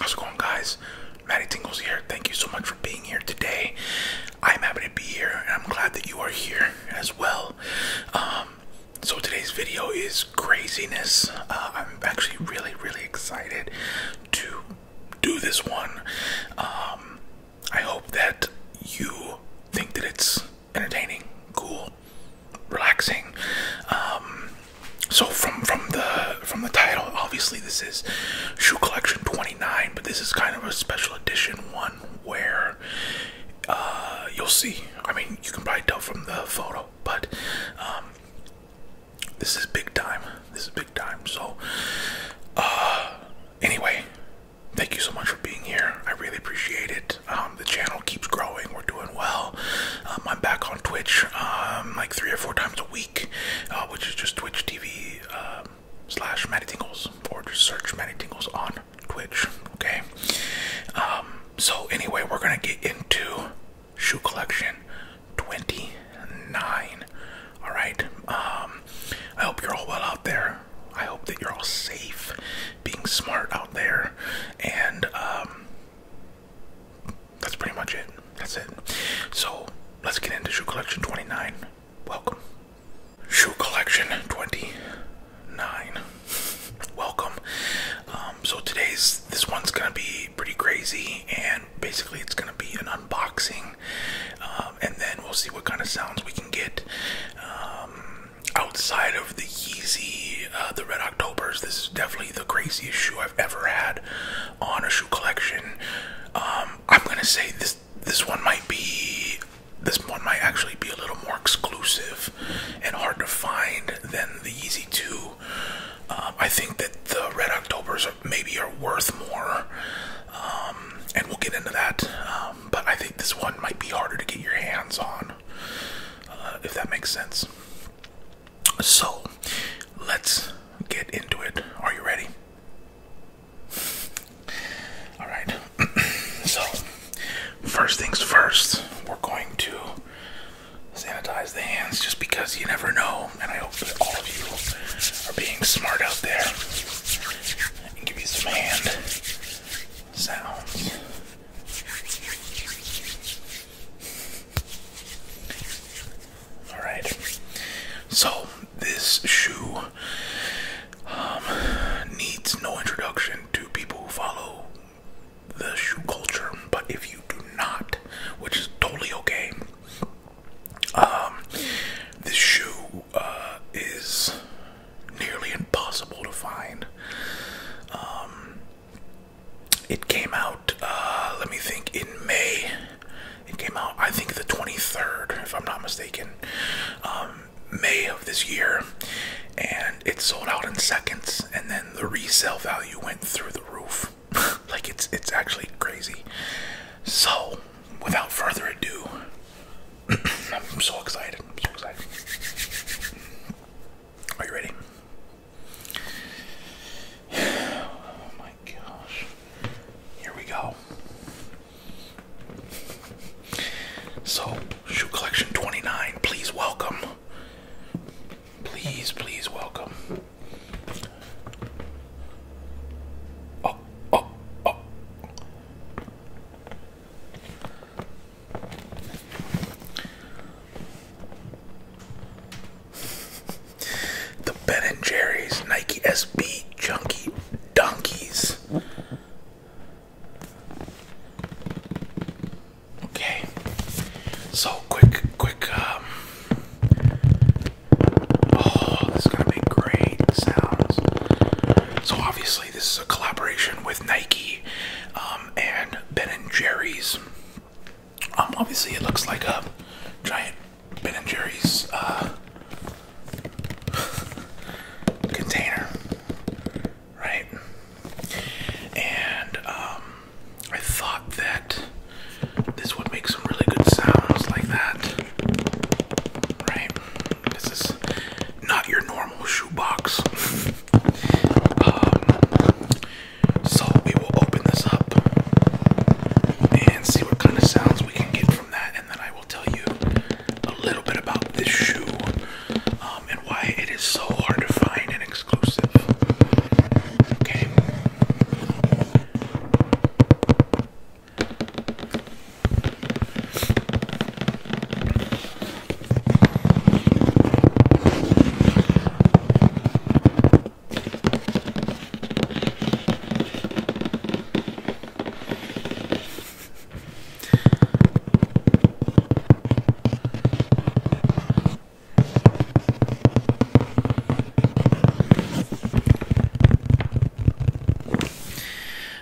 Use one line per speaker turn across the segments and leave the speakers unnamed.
How's it going, guys? Maddie Tingles here. Thank you so much for being here today. I'm happy to be here, and I'm glad that you are here as well. Um, so today's video is craziness. Uh, I'm actually really, really excited to do this one. Um, I hope that you think that it's entertaining, cool, relaxing. Um, so from from the from the title, obviously this is shoe collection 29, but this is kind of a special edition one where uh, you'll see. I mean, you can probably tell from the photo, but um, this is big time. This is big time. So, uh, anyway, thank you so much for being here. I really appreciate it. Um, the channel keeps growing. We're doing well. Um, I'm back on Twitch um, like three or four times a week, uh, which is just Twitch TV um, slash Matty Tingles, or just search Matty Tingles on Twitch. Okay. Um, so anyway, we're gonna get into shoe collection. 29. All right. Um, I hope you're all well out there. I hope that you're all safe, being smart out there, and um, that's pretty much it. That's it. So let's get into shoe collection 29. Welcome. Shoe collection 29. Welcome. Um, so today's this one's gonna be pretty crazy, and basically, it's gonna be an unboxing, um, and then we'll see what kind of sounds we can get um, outside of the Yeezy, uh, the Red Octobers. This is definitely the craziest shoe I've ever had on a shoe collection. Um, I'm gonna say this. This one might be. This one might actually be a little more exclusive and hard to find than the Yeezy 2 um, I think that the Red Octobers maybe are worth more, um, and we'll get into that. Um, but I think this one might be harder to get your hands on, uh, if that makes sense. So, let's get into it. Are you ready? All right. so, first things first, we're going to sanitize the hands just because you never know. And I hope that all of you are being smart out there. And give you some hand sounds. Alright. So this shoe um, needs no introduction to people who follow the shoe culture, but if you do not, which is totally okay, um, this shoe uh, is nearly impossible to find. Um, it came out, uh, let me think, in May. It came out, I think, the 23rd, if I'm not mistaken, um, May of this year. And it sold out in seconds, and then the resale value went through the roof. like it's it's actually crazy. So, without further ado, I'm so excited. I'm so excited. Are you ready? Oh my gosh. Here we go. So, shoe collection 29, please welcome Please, please welcome. Oh, oh, oh. the Ben and Jerry's Nike SB Junkie Donkeys. Okay, so quick, quick, um, Oh, this is gonna make great So obviously, this is a collaboration with Nike um, and Ben and Jerry's. Um, obviously, it looks like a giant Ben and Jerry's uh, container, right? And um, I thought that this would make some really good sounds like that. Right? This is not your normal shoebox. um, so we will open this up and see what kind of sounds we can get from that, and then I will tell you a little bit about this shoe um, and why it is so hard to find. And and exclusive. Okay.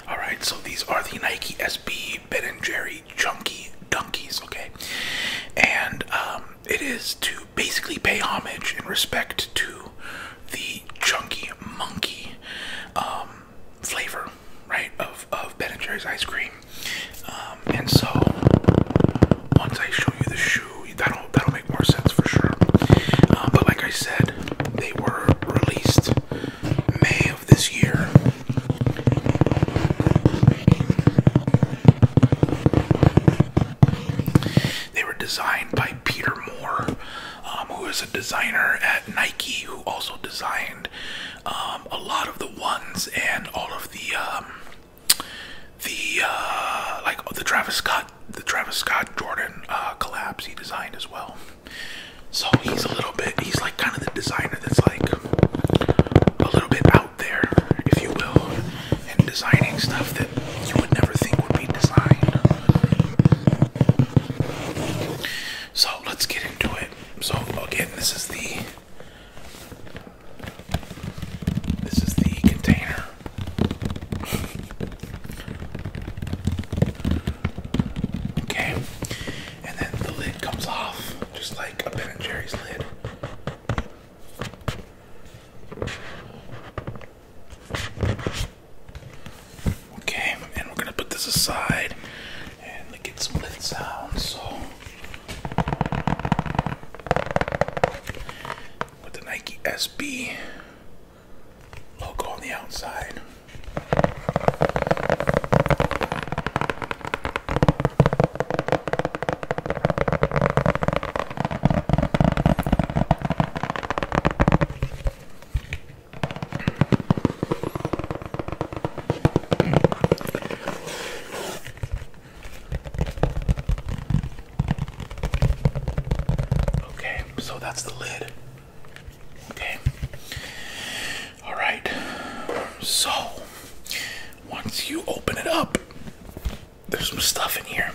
All right, so these are the Nike SB Ben and Jerry Chunky Dunkies, okay? And um, it is to basically pay homage in respect to the Chunky Monkey um, flavor, right, of, of Ben and Jerry's ice cream. Um, and so once I show you the shoe, that'll that'll make more sense for sure. Um, but like I said, they were released May of this year. They were designed by Peter Moore, um, who is a designer at Nike, who also designed a lot of the ones and all of the the uh, like the Travis Scott, the Travis Scott Jordan uh, collapse he designed as well. So he's a little bit, he's like kind of the designer that's like a little bit out there, if you will, and designing stuff that you would never think would be designed. So let's get into it. So again, this is the this is the container. okay, and then the lid comes off, just like a Ben and Jerry's lid. Okay, and we're gonna put this aside and get some lid sounds. So with the Nike SB logo on the outside. Okay, so that's the lid. Okay. All right. So, once you open it up, there's some stuff in here.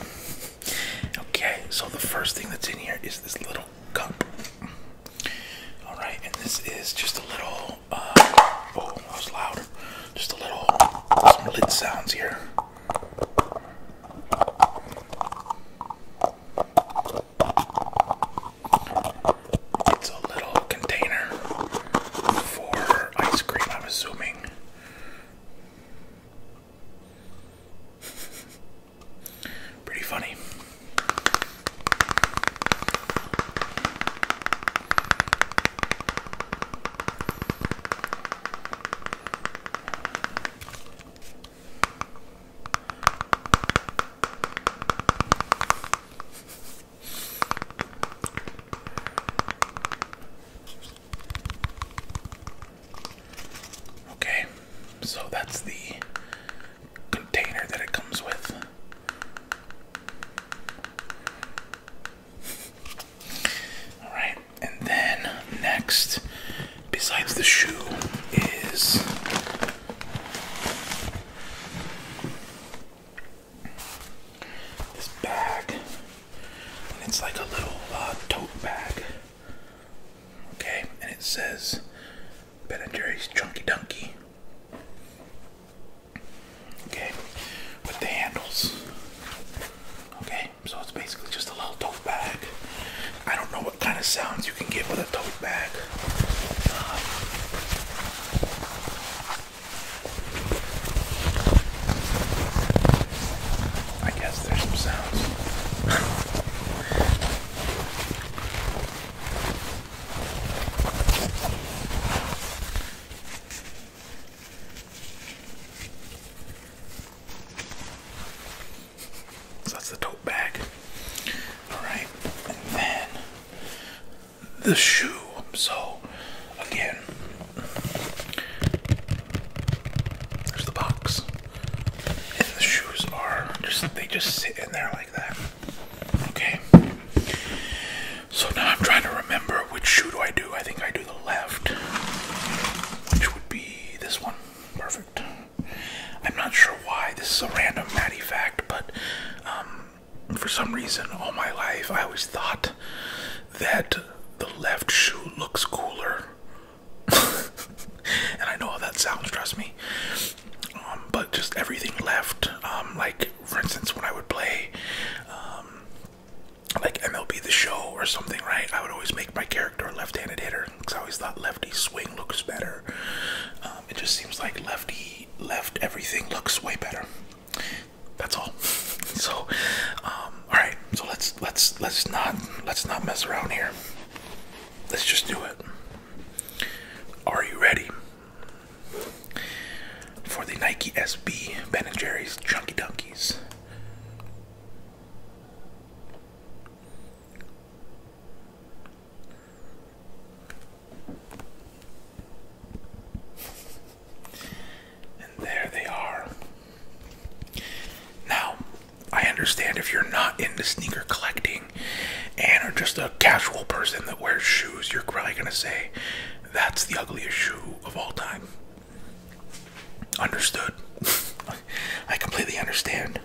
Okay, so the first thing that's in here is this little cup. All right, and this is just a little Oh, uh, oh, that was loud. Just a little, some lid sounds here. It's a little container for ice cream, I'm assuming. Pretty funny. Okay, so that's the container that it comes with. All right, and then next, besides the shoe, is this bag. And it's like a little uh, tote bag. Okay, and it says Ben and Jerry's Chunky Donkey. Okay, with the handles. Okay, so it's basically just a little tote bag. I don't know what kind of sounds you can get with a tote bag. Um, I guess there's some sounds. So that's the tote bag. Alright, and then the shoe. So, again, there's the box. And the shoes are just, they just sit in there like that. Okay. So now I'm trying to remember which shoe do I do. I think I do the left, which would be this one. Perfect. I'm not sure why. This is a random Matty fact, but um, for some reason, all my life, I always thought that the left shoe looks cooler. and I know how that sounds, trust me. Um, but just everything left, um, like for instance, when I would play um, like MLB The Show or something, right? I would always make my character a left-handed hitter because I always thought lefty swing looks better. Um, it just seems like lefty left everything looks way better. That's all. So, um, all right. So let's let's let's not let's not mess around here. Let's just do it. Are you ready? For the Nike SB Ben and Jerry's Chunky Donkeys. And there they are. Now, I understand if you're not into sneaker collecting and are just a casual person that wears shoes, you're probably going to say, that's the ugliest shoe of all time. Understood. I completely understand.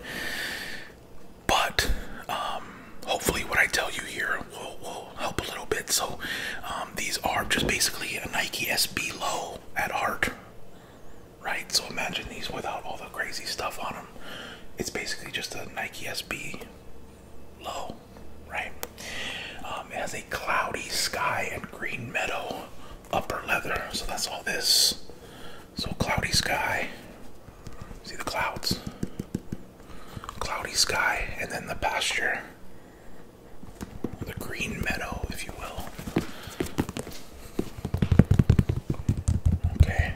But um, hopefully, what I tell you here will, help a little bit. So, um, these are just basically a Nike SB Low at heart, right? So, imagine these without all the crazy stuff on them. It's basically just a Nike SB low, right? Um, it has a cloudy sky and green meadow upper leather, so that's all this. So cloudy sky, see the clouds, cloudy sky, and then the pasture, the green meadow, if you will. Okay.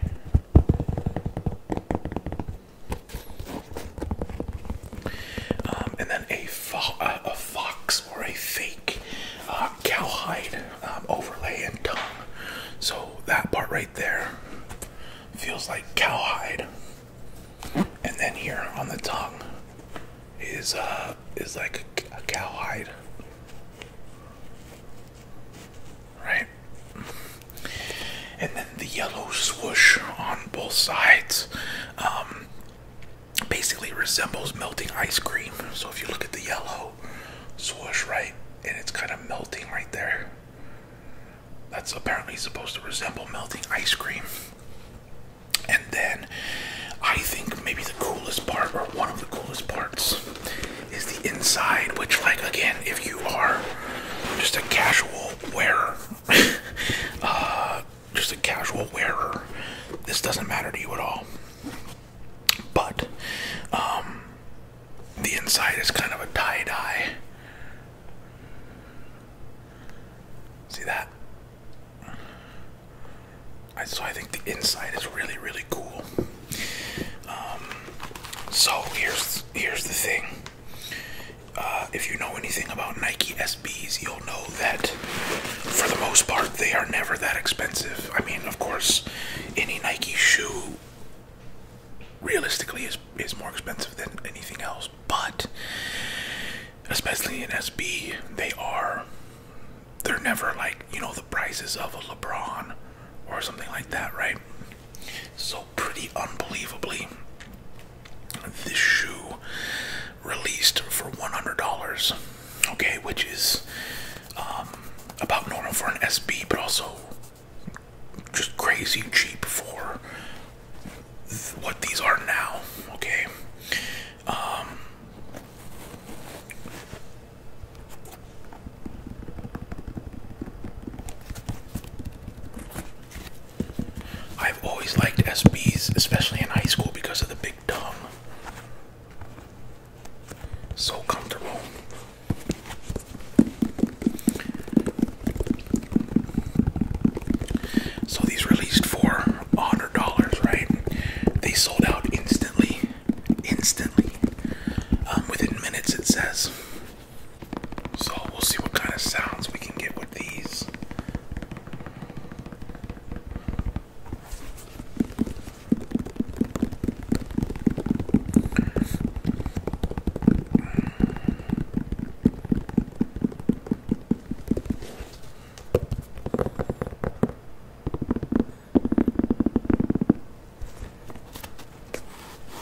Um, and then uh, a, fox or a fake uh, cowhide um, overlay and tongue. So that part right there feels like cowhide. And then here on the tongue is uh, is like a, a cowhide. Right? and then the yellow swoosh on both sides um, basically resembles melting ice cream. So if you look at the yellow swoosh, right, and it's kind of melting right there. That's apparently supposed to resemble melting ice cream. And then I think maybe the coolest part, or one of the coolest parts, is the inside, which, like, again, if you are just a casual wearer uh, just a casual wearer, this doesn't matter to you at all. But um, the inside is kind of a tie dye. See that? so I think the inside is really, really cool. Um, so here's here's the thing. Uh, if you know anything about Nike SBs, you'll know that for the most part they are never that expensive. I mean, of course, any Nike shoe realistically is is more expensive than anything else, but especially in SB, they are they're never like, you know, the prices of a LeBron or something like that, right? So, pretty unbelievably, this shoe released for $100, okay, which is um, about normal for an SB, but also just crazy cheap for what these are now, okay. Um, I've always liked SBs, especially in high school, because of the big dome. So comfortable. So these released for $100, right? They sold out instantly. Instantly. Um, within minutes, it says. So we'll see what kind of sounds we can get with these.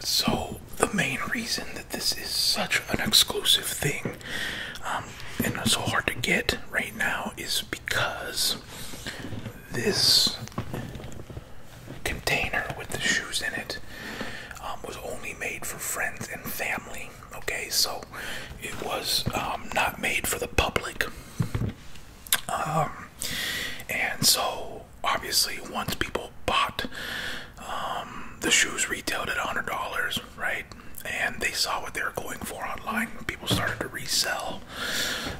so, the main reason that this is such an exclusive thing um, and so hard to get right now is because this container with the shoes in it um, was only made for friends and family. Okay, so it was um, not made for the public. and so obviously once people bought um, the shoes retailed at $100 right and they saw what they were going for online people started to resell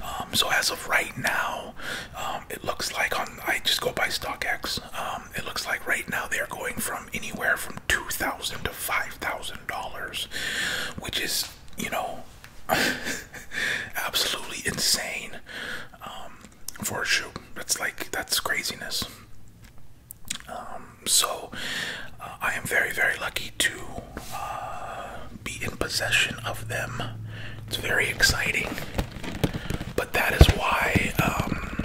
um, so as of right now um, it looks like on i just go by stockx um, it looks like right now they're going from anywhere from $2000 to $5000 which is you know absolutely insane for a shoe. That's like that's craziness. Um, so uh, I am very very lucky to uh, be in possession of them. It's very exciting, but that is why um,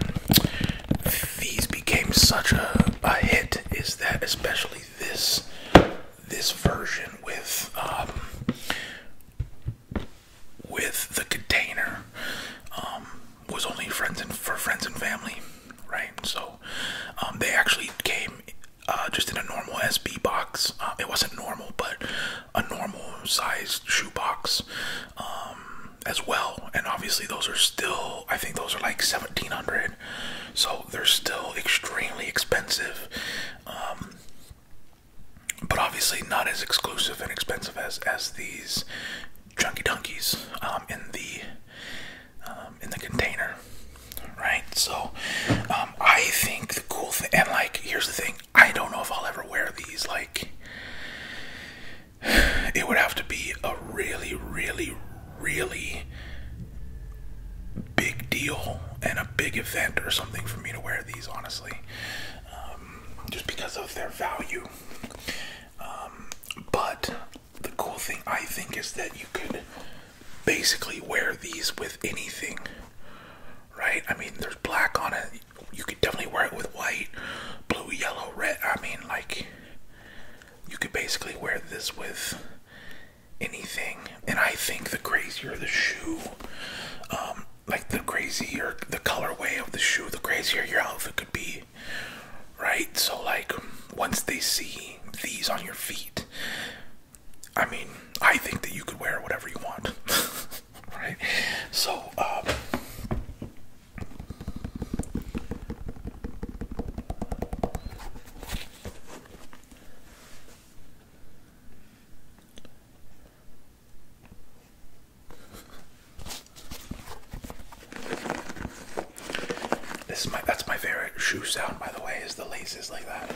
these became such a, a hit. Is that especially this this version with um, with the container um, was only friends and for friends and family, right? So um, they actually came uh, just in a normal SB box. Uh, it wasn't normal, but a normal sized shoe box um, as well. And obviously, those are still I think those are like seventeen hundred, so they're still extremely expensive but obviously not as exclusive and expensive as as these chunky donkeys um, in the um, in the container, right? So um, I think the cool thing, and like here's the thing, I don't know if I'll ever wear these. Like it would have to be a really, really, really big deal and a big event or something for me to wear these honestly um, just because of their value. Um, but the cool thing I think is that you could basically wear these with anything, right? I mean, there's black on it. You could definitely wear it with white, blue, yellow, red. I mean, like, you could basically wear this with anything. And I think the crazier the shoe, um, like the crazier the colorway of the shoe, the crazier your outfit could be, right? So like once they see these on your feet, I mean, I think that you could wear whatever you want, right? So um, this is my that's my favorite shoe sound by the way is the laces like that.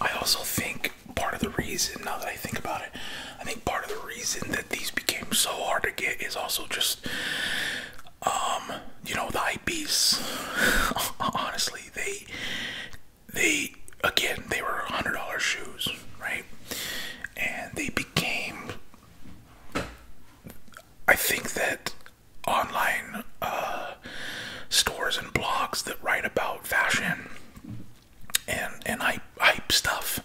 I also think part of the reason, now that I think about it, I think part of the reason that these became so hard to get is also just, um, you know, the IPs. Honestly, they, they, again, they were $100 shoes, right? And they became, I think that online uh, stores and blogs that write about fashion and and hype, stuff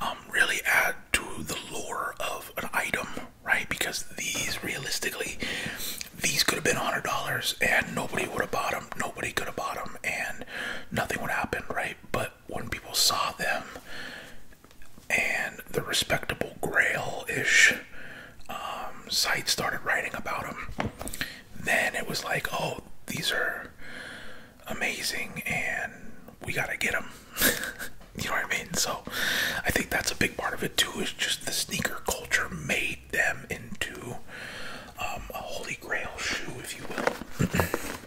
um, really add to the lore of an item, right? Because these realistically, these could have been hundred dollars and nobody would have bought them. Nobody could have bought them, and nothing would happen, right? But when people saw them and the respectable grail ish um, sites started writing about them, then it was like, oh, these are amazing and we gotta get them. you know what I mean? So I think that's a big part of it too, is just the sneaker culture made them into um, a holy grail shoe, if you will.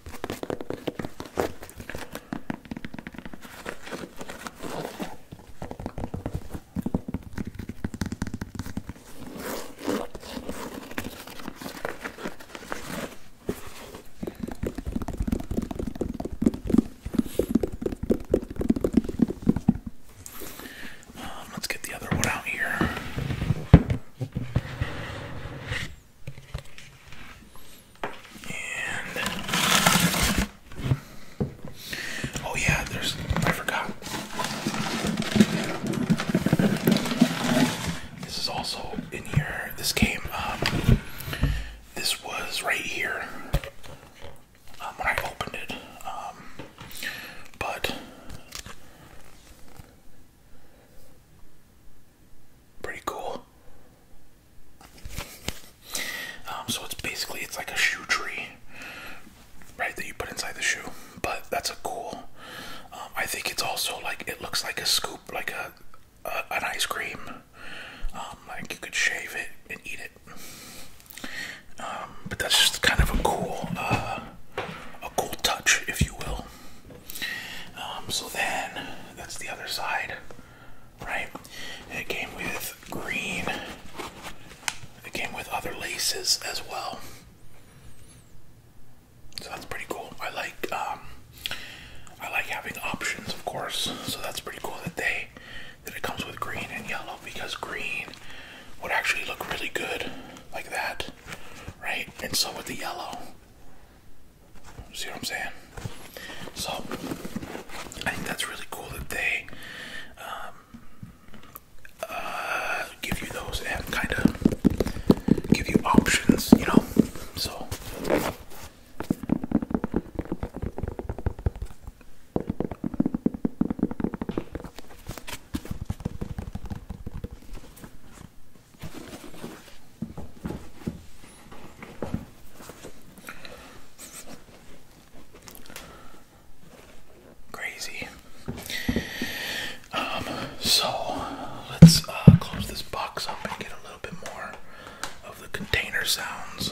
Um, let's get the other one out here oh yeah, there's I forgot. This is also in here. This came. Um, this was right here um, when I opened it. Um, but Pretty cool. Um, so it's basically it's like a shoe tree, right? That you put inside the shoe. But that's a cool. Um, I think it's also like it looks like a scoop, like a, an ice cream. Um, like you could shave it and eat it. but that's just kind of a cool, uh, a cool touch, if you will. Um, so then that's the other side, right? It came with green. It came with other laces as well. So that's pretty cool. I like um, I like having options, of course. So that's pretty cool that they that it comes with green and yellow because green would actually look really good like that right? And so with the yellow. See what I'm saying? So I think that's really cool that they um, uh, give you those and kind of give you options, you know? So. Crazy. Um, so let's uh, close this box up and get a little bit more of the container sounds.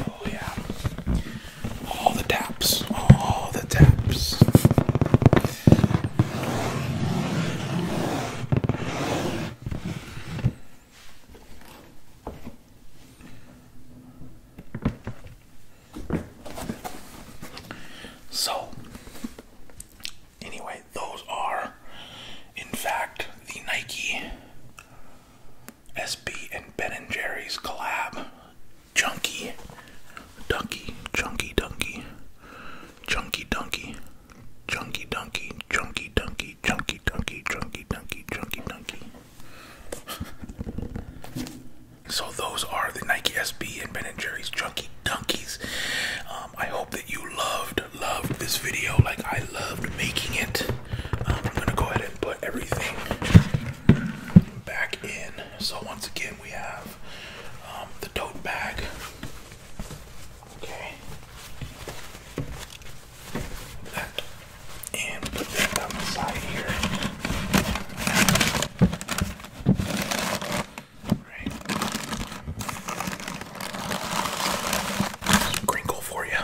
Oh, yeah. All the taps. All the taps. So, anyway, those are, in fact, the Nike SB and Ben and Jerry's collab. Chunky Dunky, Chunky Dunky, Chunky Dunky, Chunky Dunky, Chunky Dunky, Chunky Dunky, Chunky Dunky, Chunky Dunky so those are the Nike SB and Ben and Jerry's Junkie Dunkies. Um, I hope that you loved loved this video like I loved making it. Um, I'm gonna go ahead and put everything back in. So once again, we have um, the tote bag. Okay that and put that down the side here. Right. crinkle for you.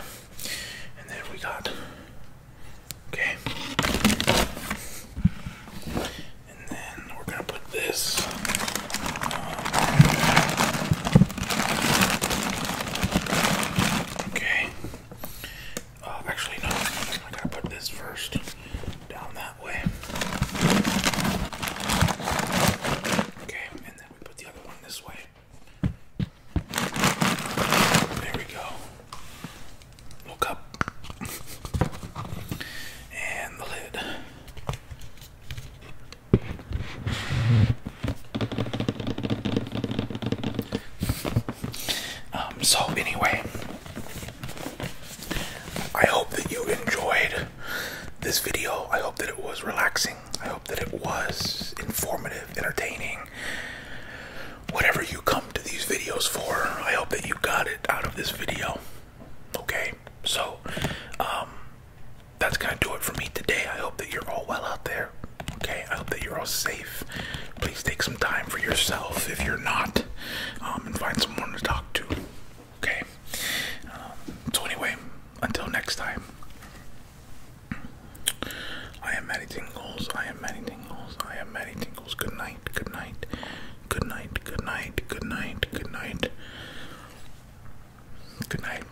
And then we got okay. And then we're gonna put this um, okay. Uh, actually, no, I gotta put this first down that way. Okay, and then we put the other one this way. There we go. Look up. and the lid. Um, so, anyway, I hope that you enjoyed this video. I hope that it was relaxing. I hope that it was informative, entertaining. Whatever you come to these videos for, I hope that you got it out of this video. Okay, so um, that's gonna do it for me today. I hope that you're all well out there. Okay, I hope that you're all safe. Please take some time for yourself if you're not, um, and find someone to talk to. Okay? Um, so, anyway, until next time, I am Maddie Tingles. I am Maddie Tingles. I am Maddie Tingles. Good night, good night, good night, good night, good night, good night. Good night.